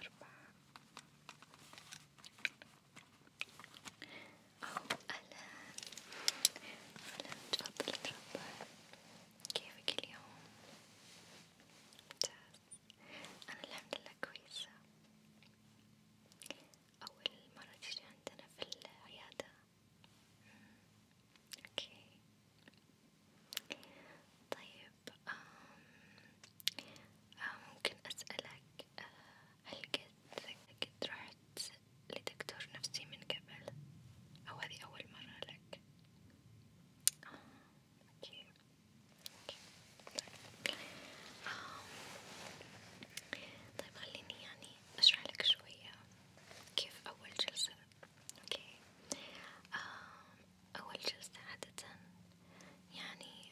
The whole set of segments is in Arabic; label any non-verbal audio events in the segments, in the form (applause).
الأربعة أو أهلا أهلا تفضل تفضل كيفك اليوم؟ ممتاز أنا الحمد لله كويسة أول مرة تجي عندنا في العيادة اوكي طيب آم آم ممكن اسألك آه هل قد قد رحت لدكتور نفسي من قبل او هذه اول مرة لك؟ آه اوكي اوكي طيب. آم طيب خليني يعني أشرح لك شوية كيف أول جلسة، أوكي، أول جلسة عادة يعني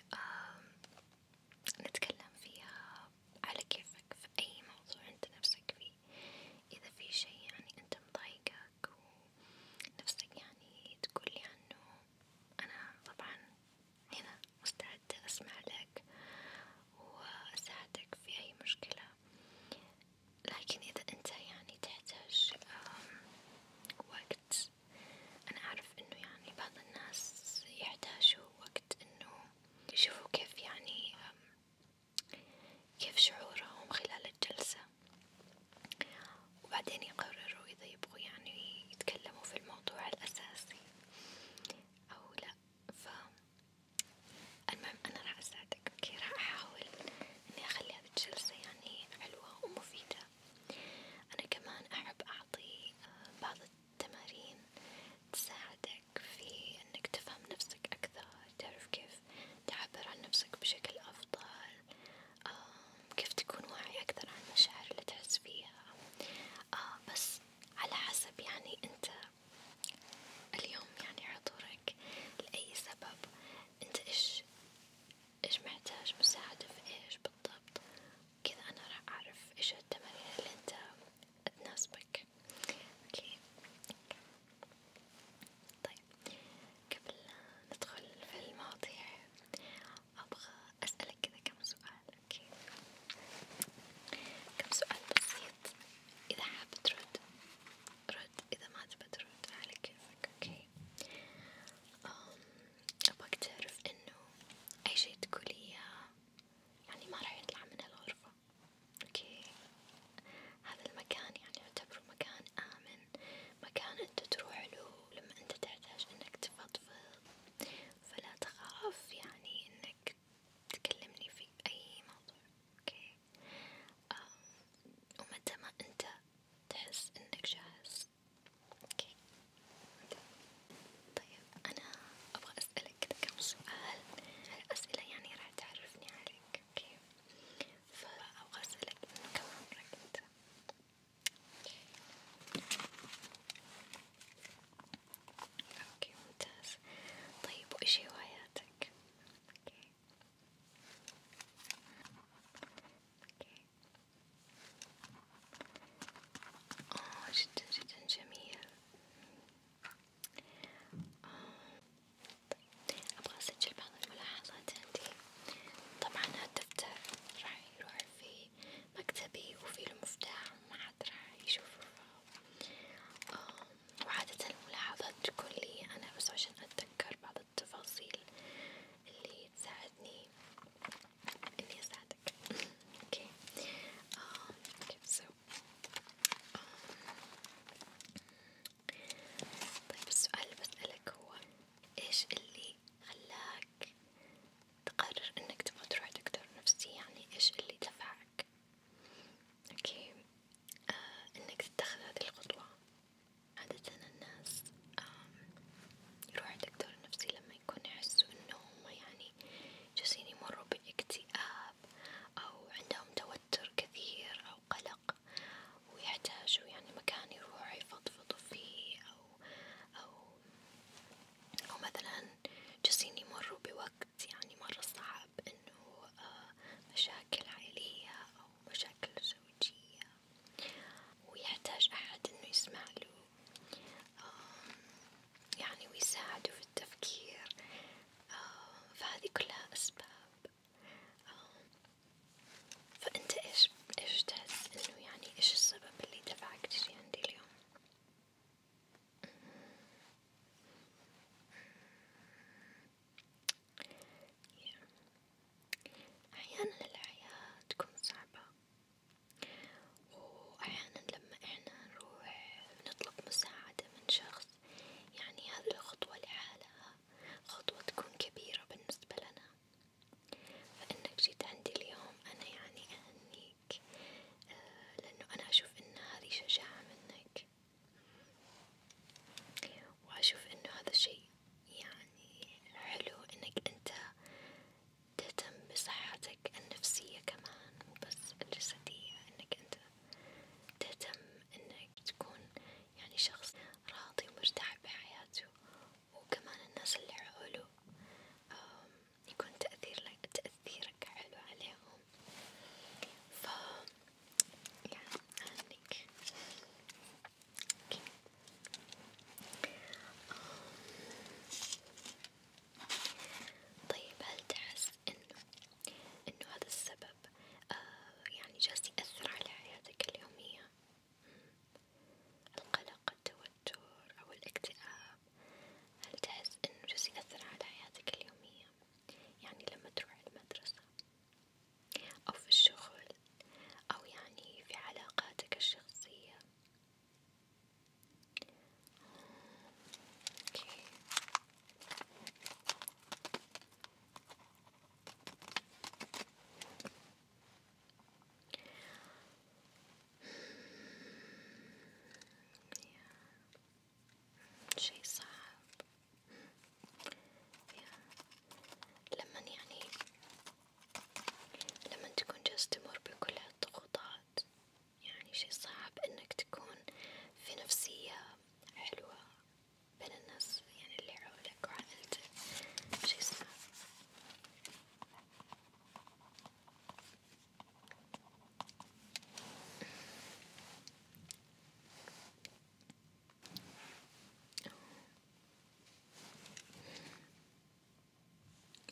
نتكلم فيها على كيفك في أي موضوع أنت نفسك فيه، إذا في شي يعني أنت مضايقك ونفسك يعني تقولي عنه، أنا طبعا هنا مستعدة أسمع لك وأساعدك في أي مشكلة، لكن إذا أنت يعني تحتاج وقت، أنا أعرف إنه يعني بعض الناس يحتاجوا وقت إنه يشوفوا كيف يعني كيف شعورهم خلال الجلسة، وبعدين يقرروا إذا يبغوا يعني يتكلموا في الموضوع الأساسي أو لأ. ف المهم أنا راح أساعدك اوكي راح أحاول إني أخلي هذي الجلسة يعني حلوة ومفيدة، أنا كمان أحب أعطي آه، بعض التمارين تساعدك في إنك تفهم نفسك أكثر، تعرف كيف تعبر عن نفسك بشكل أفضل، آه، كيف تكون واعي أكثر عن المشاعر اللي تحس فيها، آه، بس على حسب يعني انت اليوم يعني حضورك لأي سبب انت ايش ايش محتاج مساعدة في ايش بالضبط كذا انا راح اعرف ايش التمارين اللي انت تناسبك اوكي طيب قبل ندخل في المواضيع ابغى اسألك كذا كم سؤال حالك كيف كم سؤال بسيط إذا حاب ترد رد إذا ما تبى ترد على كيفك أوكي أبغاك تعرف إنه أي شي تقوليه يعني ما راح يطلع من الغرفة أوكي هذا المكان يعني يعتبره مكان آمن مكان أنت تروح له لما أنت تحتاج إنك تفضفض فلا تخاف يعني إنك تكلمني في أي موضوع، أوكي؟ ومتى ما أنت تحس إنك جاهز، أوكي؟ طيب أنا أبغى أسألك كذا كم سؤال، هالأسئلة يعني راح تعرفني عليك، أوكي؟ فأبغى أسألك إنه كم عمرك أنت؟ اوكي ممتاز طيب وايش هواياتك؟ اوكي اوكي اه جدا جدا جميل آه. طيب ابغى اسجل بعض الملاحظات عندي طبعا هالدفتر راح يروح في مكتبي وفيه المفتاح وما حد راح يشوفه وعادة الملاحظات تكون لي أنا بس عشان أتذكر بعض التفاصيل اللي تساعدني إني أساعدك (laughs) أوكي أوكي سو طيب السؤال اللي بسألك هو إيش اللي خلاك تقرر انك تبغى تروح دكتور نفسي يعني ايش اللي دفعك اوكي آه انك تتخذ هذه الخطوة عادة الناس يروحوا دكتور نفسي لما يكونوا يحسوا انهم يعني جالسين يمروا باكتئاب او عندهم توتر كثير او قلق ويحتاجوا يعني مكان يروحوا يفضفضوا فيه او او أو مثلا جالسين يمروا بوقت يعني مرة صعب إنه آه، مشاكل عائلية أو مشاكل زوجية ويحتاج أحد إنه يسمع له يعني ويساعده في التفكير فهذه كلها أسباب فأنت إيش إيش تحس إنه يعني إيش السبب اللي دفعك تجي عندي اليوم؟ أحيانا الحياة تكون صعبة وأحيانا لما إحنا نروح نطلب مساعدة من شخص يعني هذي الخطوة لحالها خطوة تكون كبيرة بالنسبة لنا فإنك جيت عندي اليوم أنا يعني أهنيك آه لأنه أنا أشوف إن هذه شجاعة منك وأشوف إنه هذا الشي يعني حلو إنك أنت تهتم بصحتك النفسية كمان مو بس الجسدية إنك أنت تهتم إنك تكون يعني شخص راضي ومرتاح بحياته وكمان الناس اللي حوله يكون تأثير لك تأثيرك حلو عليهم ف يعني عنك طيب هل تحس إنه إنه هذا السبب آه يعني جالس يأثر على حياتك اليومية؟ مم. القلق التوتر أو الاكتئاب هل تحس إنه جالس يأثر على حياتك اليومية يعني لما تروح المدرسة أو في الشغل أو يعني في علاقاتك الشخصية أوكي. yeah. شي صعب yeah. لما يعني لما تكون جالس تمر بكل هالضغوطات يعني شي صعب انك تكون في نفسية حلوة بين الناس يعني اللي حولك وعائلتك شي صعب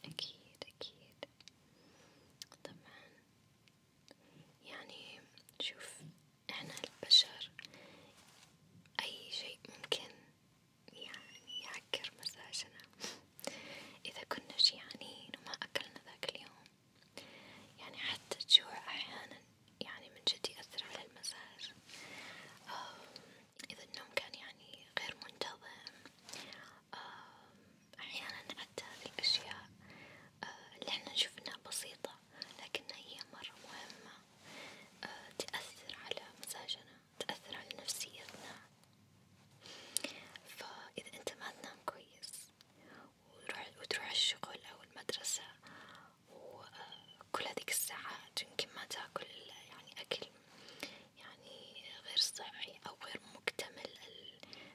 أكيد أكيد طبعا يعني شوف إحنا البشر أي شيء ممكن يعني يعكر مزاجنا إذا كنا جيعانين وما أكلنا ذاك اليوم يعني حتى الجوع أحيانا يعني من جد يأثر على المزاج إذا النوم كان يعني غير منتظم أحيانا حتى هذه الأشياء آه، اللي احنا نشوف إنها بسيطة لكنها هي مرة مهمة آه، تأثر على مزاجنا تأثر على نفسيتنا فإذا أنت ما تنام كويس وتروح الشغل أو المدرسة وكل هذيك الساعات يمكن ما تاكل يعني أكل يعني غير صحي أو غير مكتمل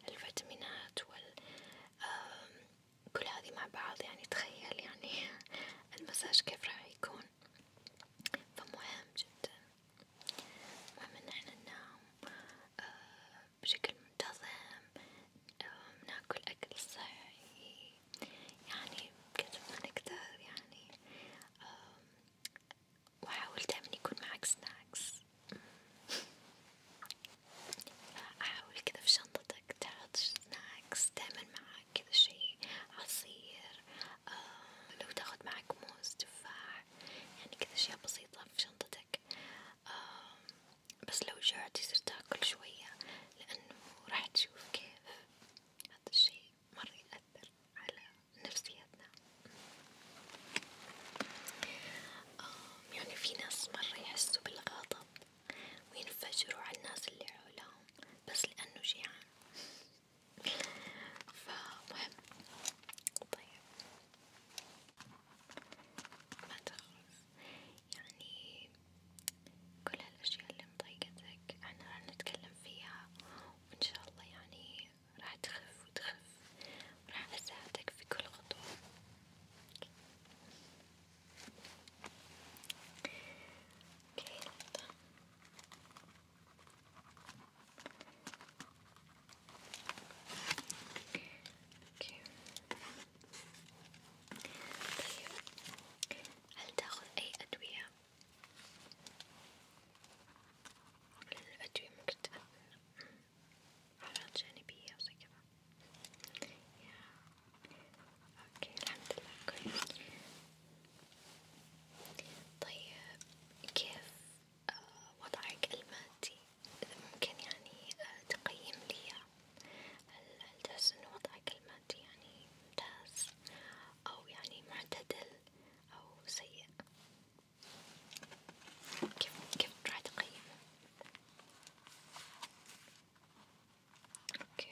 الفيتامينات وال كل مع بعض يعني تخيل يعني (laughs) المساج كيف راح يكون فمهم جدا مهم ان احنا ننام آه بشكل منتظم آه ناكل اكل صحي يعني بقدر ما نقدر يعني آه واحاول دايما يكون معك سناكس احاول كذا في شنطتك تحط سناكس دايما معك معك كذا شي عصير آه، لو تاخد معك موز تفاح يعني كذا أشياء بسيطة في شنطتك آه، بس لو جعت يصير تاكل شوية لأنه راح تشوف كيف هذا الشي مرة يأثر على نفسيتنا آه، يعني في ناس مرة يحسوا بالغضب وينفجروا على الناس اللي حولهم بس لأنه جيعان فمهم طيب ما تخاف يعني كل هالأشياء اللي مضايقتك احنا راح نتكلم فيها وإن شاء الله يعني راح تخف وتخف وراح أساعدك في كل خطوة أوكي نقطة أوكي. طيب هل تأخذ أي أدوية؟ الأدوية ممكن تأثر أعراض جانبية وزي كذا، اوكي الحمد لله كويس طيب كيف آه، وضعك المادي؟ إذا ممكن يعني آه، تقيم لي هل تحس إنه وضعك المادي يعني ممتاز أو يعني معتدل أو سيء؟ كيف كيف راح تقيمه؟ اوكي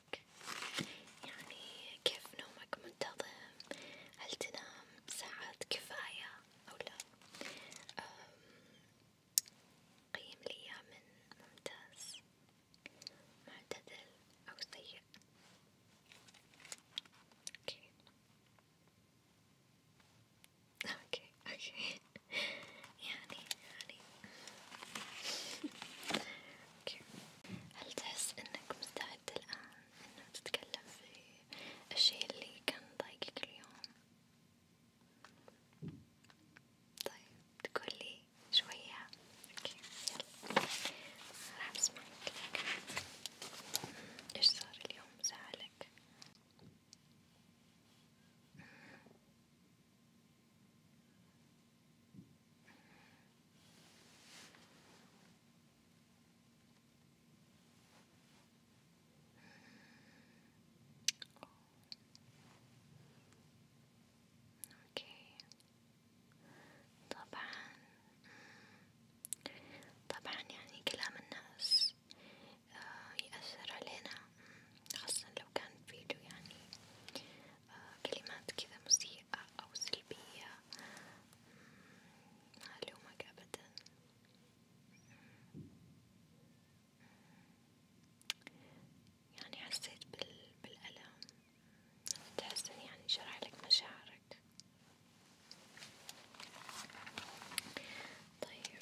نومك يعني كيف نومك منتظم هل تنام ساعات كفاية أو لا قيم لي من ممتاز معتدل أو سيء أوكي أوكي أوكي (laughs) يعني يعني (laughs) أوكي هل تحس إنك مستعد الآن إنه تتكلم في الشيء اللي كان ضايقك اليوم؟ طيب تقولي شوية أوكي يلا راح أسمعك إيش صار اليوم زعلك؟ اوكي طبعا طبعا يعني كلام الناس آه، يأثر علينا خاصة لو كان فيديو يعني كلمات كذا مسيئة أو سلبية ما ألومك أبدا يعني حسيت بال... بالألم تحس إني يعني شرح لك مشاعرك طيب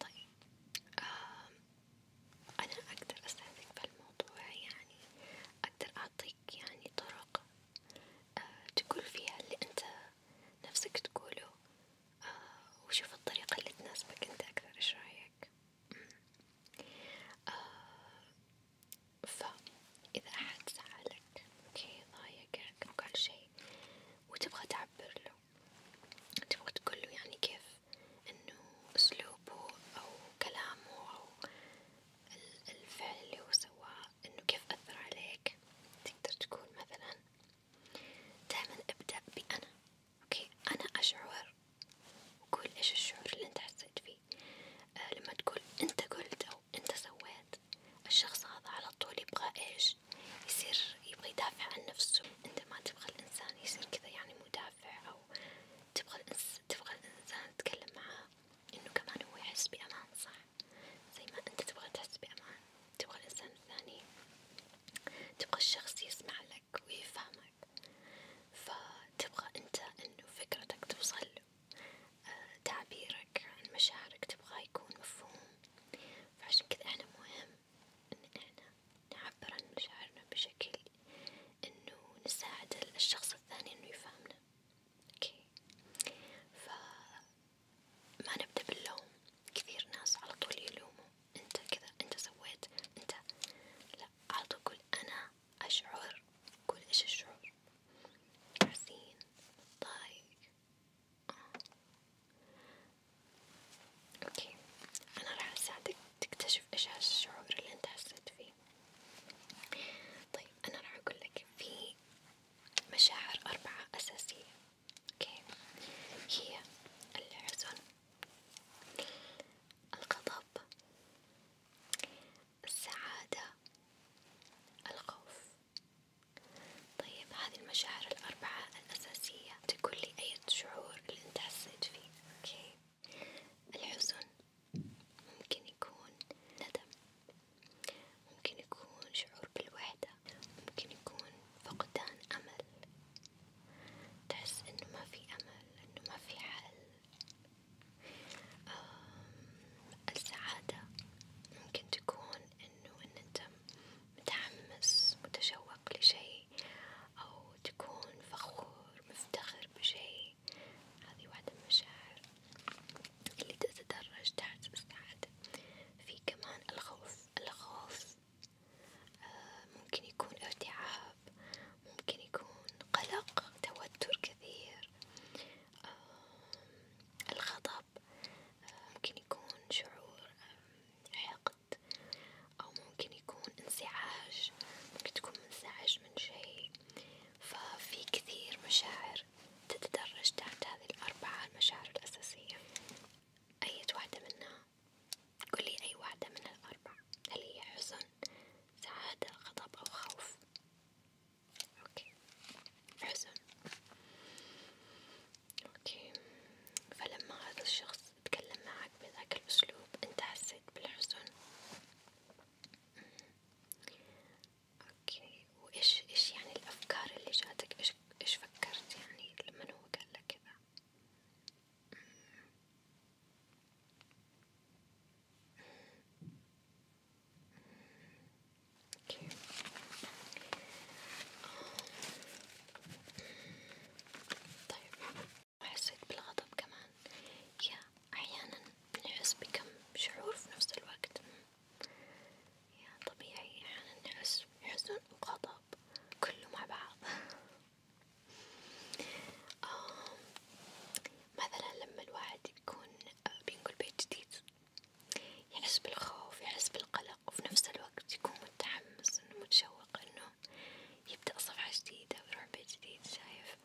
طيب آه، أنا أقدر أساعدك بالموضوع يعني أقدر أعطيك يعني طرق آه، تقول فيها اللي أنت نفسك تقوله آه، وشوف الطريقة اللي تناسبك أنت أكثر إيش رأيك؟ فإذا أحد سألك أوكي ضايع هيك عنك وكل شي وتبغى تعبر له تبغى تقوله يعني كيف انه اسلوبه او كلامه او الفعل اللي هو سواه انه كيف اثر عليك تقدر تقول مثلا دايما ابدأ بأنا اوكي انا اشعر وقول ايش الشعور اللي انت حسيت فيه آه لما تقول انت قلت او انت سويت الشخص هذا على طول يبغى ايش يصير يبغى يدافع عن نفسه انت ما تبغى الانسان يصير كذا يعني مدافع او تبغى الانس... تبغى الانسان تتكلم معاه انه كمان هو يحس بامان صح زي ما انت تبغى تحس بامان تبغى الانسان الثاني تبغى الشخص يسمع لك ويفهمك فتبغى انت انه فكرتك توصل له تعبيرك عن مشاعرك تبغاه يكون مفهوم، فعشان كذا أنا مهم إن إحنا نعبر عن مشاعرنا بشكل إنه نساعد الشخص الثاني إنه يفهمنا، أوكي، فما نبدأ باللوم، كثير ناس على طول يلوموا أنت كذا أنت سويت أنت، لأ على طول قول أنا أشعر، قول إيش الشعور، حزين، متضايق، اوكي انا راح اساعدك تكتشف ايش هالشعور اللي انت حسيت فيه طيب انا راح اقول لك في مشاعر اربعة اساسية اوكي هي الحزن الغضب السعادة الخوف طيب هذه المشاعر الأربعة الأساسية تقول لي أي شعور اللي أنت حسيت فيه، أوكي؟ الحزن ممكن يكون ندم، ممكن يكون شعور بالوحدة، ممكن يكون فقدان أمل، تحس إنه ما في أمل، إنه ما في حل، السعادة ممكن تكون إنه إن أنت متحمس متشوق لشيء أو تكون فخور مفتخر بشيء، هذه واحدة من المشاعر اللي تتدرج تحت السعادة، في كمان الخوف، الخوف آه ممكن يكون ارتعاب، ممكن يكون قلق، توتر كثير، آه الغضب صعب ممكن يكون شعور حقد أو ممكن يكون انزعاج ممكن تكون منزعج من شي ففي كثير مشاعر تتدرج تحت هذه الأربعة المشاعر الأساسية أية واحدة منها قولي أي واحدة من الأربع هل هي حزن سعادة غضب أو خوف اوكي حسن اوكي فلما هذا الشخص تكلم معك بذاك الاسلوب انت حسيت بالحزن اوكي وايش ايش يعني الافكار اللي جاتك ايش ايش فكرت يعني لما هو قال لك كذا Okay. طيب وحسيت بالغضب كمان يا أحيانا نحس بكم شعور في نفس الوقت يا طبيعي أحيانا نحس حزن وغضب كله مع بعض مثلا لما الواحد يكون آه، بينقل بيت جديد يحس بالخوف يحس بالقلق وفي نفس الوقت يكون متحمس إنه متشوق إنه يبدأ صفحة جديدة ويروح بيت جديد شايف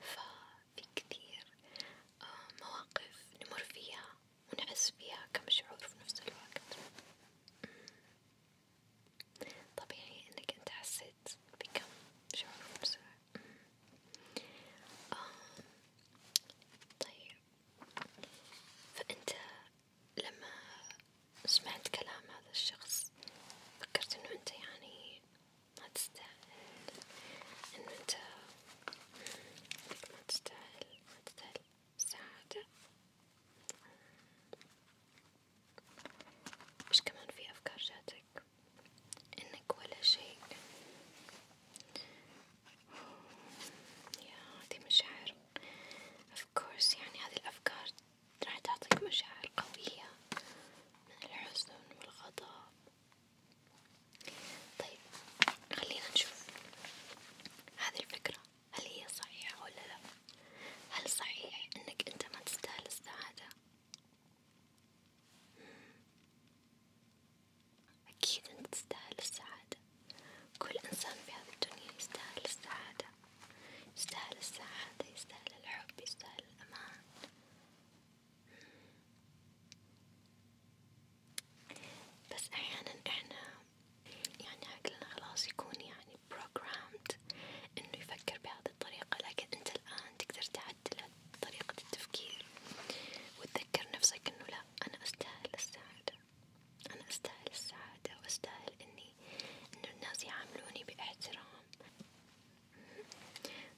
ففي كثير آه، مواقف نمر فيها ونحس فيها كمشعور في نفس الوقت طبيعي إنك أنت حسيت بكم شعور في نفس الوقت آه طيب فأنت لما سمعت كلام هذا الشخص فكرت إنه أنت يعني ما تستاهل إنه أنت ما تستاهل ما تستاهل السعادة مش كمان في أفكار جاتك إنك ولا شيء يا هذي مشاعر of course يعني هذه الأفكار راح تعطيك مشاعر قوية من الحزن والغضب طيب خلينا نشوف هذه الفكرة هل هي صحيحة ولا لا؟ هل صحيح إنك أنت ما تستاهل السعادة؟ أكيد أنت تستاهل السعادة، كل إنسان في هذه الدنيا يستاهل السعادة، يستاهل السعادة، يستاهل الحب، يستاهل الأمان، بس أحيانا إحنا يعني عقلنا خلاص يكون يعني programmed إنه يفكر بهذه الطريقة، لكن أنت الآن تقدر تعدله طريقة التفكير وتذكر نفسك إنه لا أنا أستاهل السعادة أنا أستاهل السعادة وأستاهل إني إنه الناس يعاملوني باحترام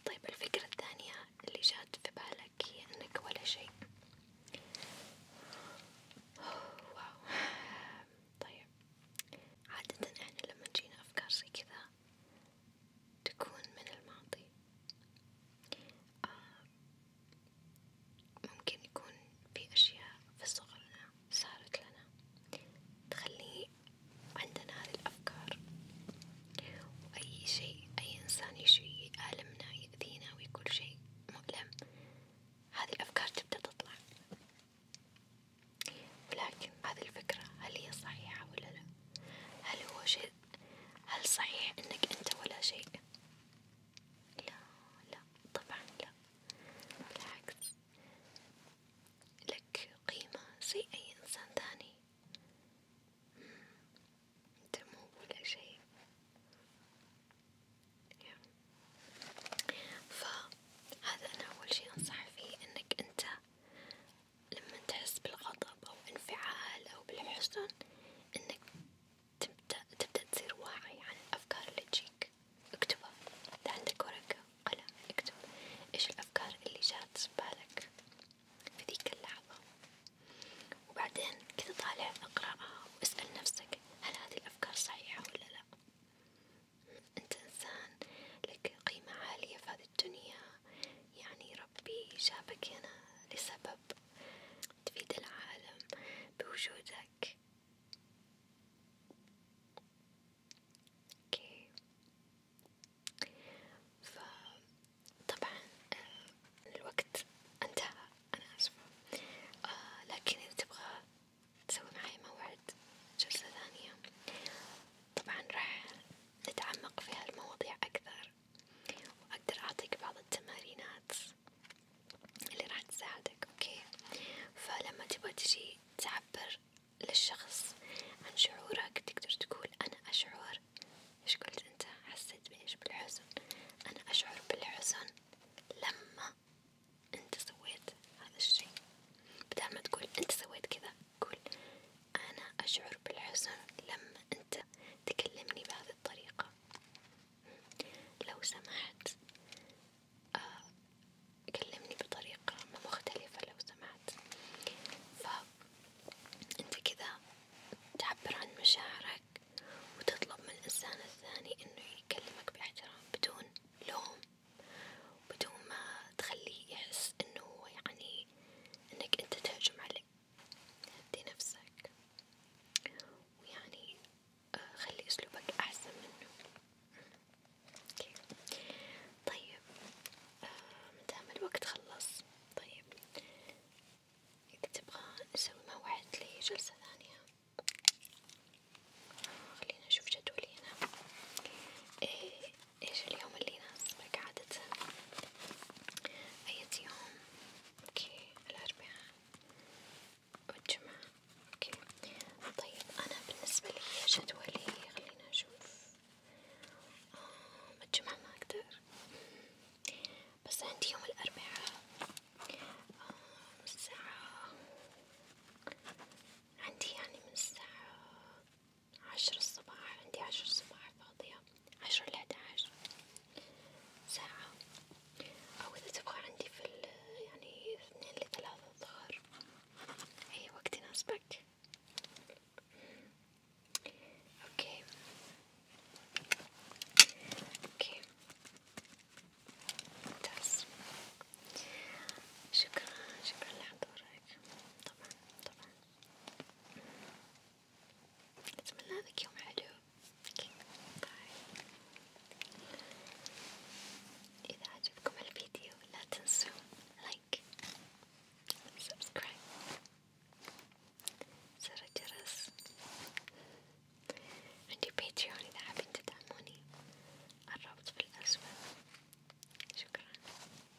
طيب الفكرة الثانية اللي جات في بالك هي إنك ولا شيء واو طيب عادة إحنا لما تجينا أفكار زي كذا تكون من الماضي آه، ممكن يكون في أشياء في صغرنا صارت لنا تخلي عندنا هذه الأفكار وأي شيء أي إنسان يشي يألمنا يأذينا ويقول شيء مؤلم هذه الأفكار تبدأ تطلع ولكن هذه الفكرة هل هي صحيحة ولا لا؟ هل هو شيء هل صحيح انك انت ولا شيء؟ لا لا طبعا لا بالعكس لك قيمة زي اي انسان ثاني انت مو ولا شيء فهذا انا اول شي انصح فيه انك انت لما تحس بالغضب أو انفعال أو بالحزن إنك تبدأ تبدأ تصير واعي عن الأفكار اللي تجيك اكتبها، إذا عندك ورقة قلم اكتب إيش الأفكار اللي جات بالك في ذيك اللحظة، وبعدين كذا طالع اقرأها واسأل نفسك هل هذه الأفكار صحيحة ولا لأ؟ أنت إنسان لك قيمة عالية في هذه الدنيا، يعني ربي جابك هنا لسبب تفيد العالم بوجودك اوكي فطبعا آه، الوقت انتهى انا اسفة آه، لكن اذا تبغى تسوي معي موعد جلسة ثانية طبعا راح نتعمق في هالمواضيع أكثر وأقدر أعطيك بعض التمارينات اللي راح تساعدك أوكي فلما تبغى تجي تعبر للشخص عن شعورك تقدر تقول أنا أشعر إيش قلت أنت حسيت بإيش بالحزن أنا أشعر بالحزن لما أنت سويت هذا الشي بدل ما تقول أنت سويت كذا قول أنا أشعر بالحزن لما أنت تكلمني بهذه الطريقة، لو سمحت آه كلمني بطريقة مختلفة لو سمحت، فأنت كذا تعبر عن مشاعرك وتطلب من الإنسان الثاني إنه يكلمك باحترام بدون لوم، بدون ما تخليه يحس إنه هو يعني انك انت تهجم عليه هدي نفسك ويعني آه، خلي اسلوبك احسن منه اوكي طيب آه، مدام الوقت خلص طيب اذا تبغى نسوي موعد لجلسة ثانية آه، خلينا نشوف جدولي هنا إيه ايش اليوم اللي يناسبك عادة؟ أية يوم؟ اوكي الأربعاء والجمعة اوكي طيب أنا بالنسبة لي جدولي خلينا نشوف آه الجمعة ما أقدر بس عندي يوم الأربعاء آه من الساعة عندي يعني من الساعة عشر الصباح عندي عشر الصباح فاضية عشر لحد عشر ساعة أو إذا تبغى عندي في يعني اثنين لثلاثة الظهر أي وقت يناسبك أوكي أوكي ممتاز شكرا شكرا لحضورك طبعا بسم الله ذاك يوم حلو إذا عجبكم الفيديو لا تنسوا لايك سبسكرايب زر الجرس عندي باتريون إذا حابين تدعموني الرابط في الأسفل شكرا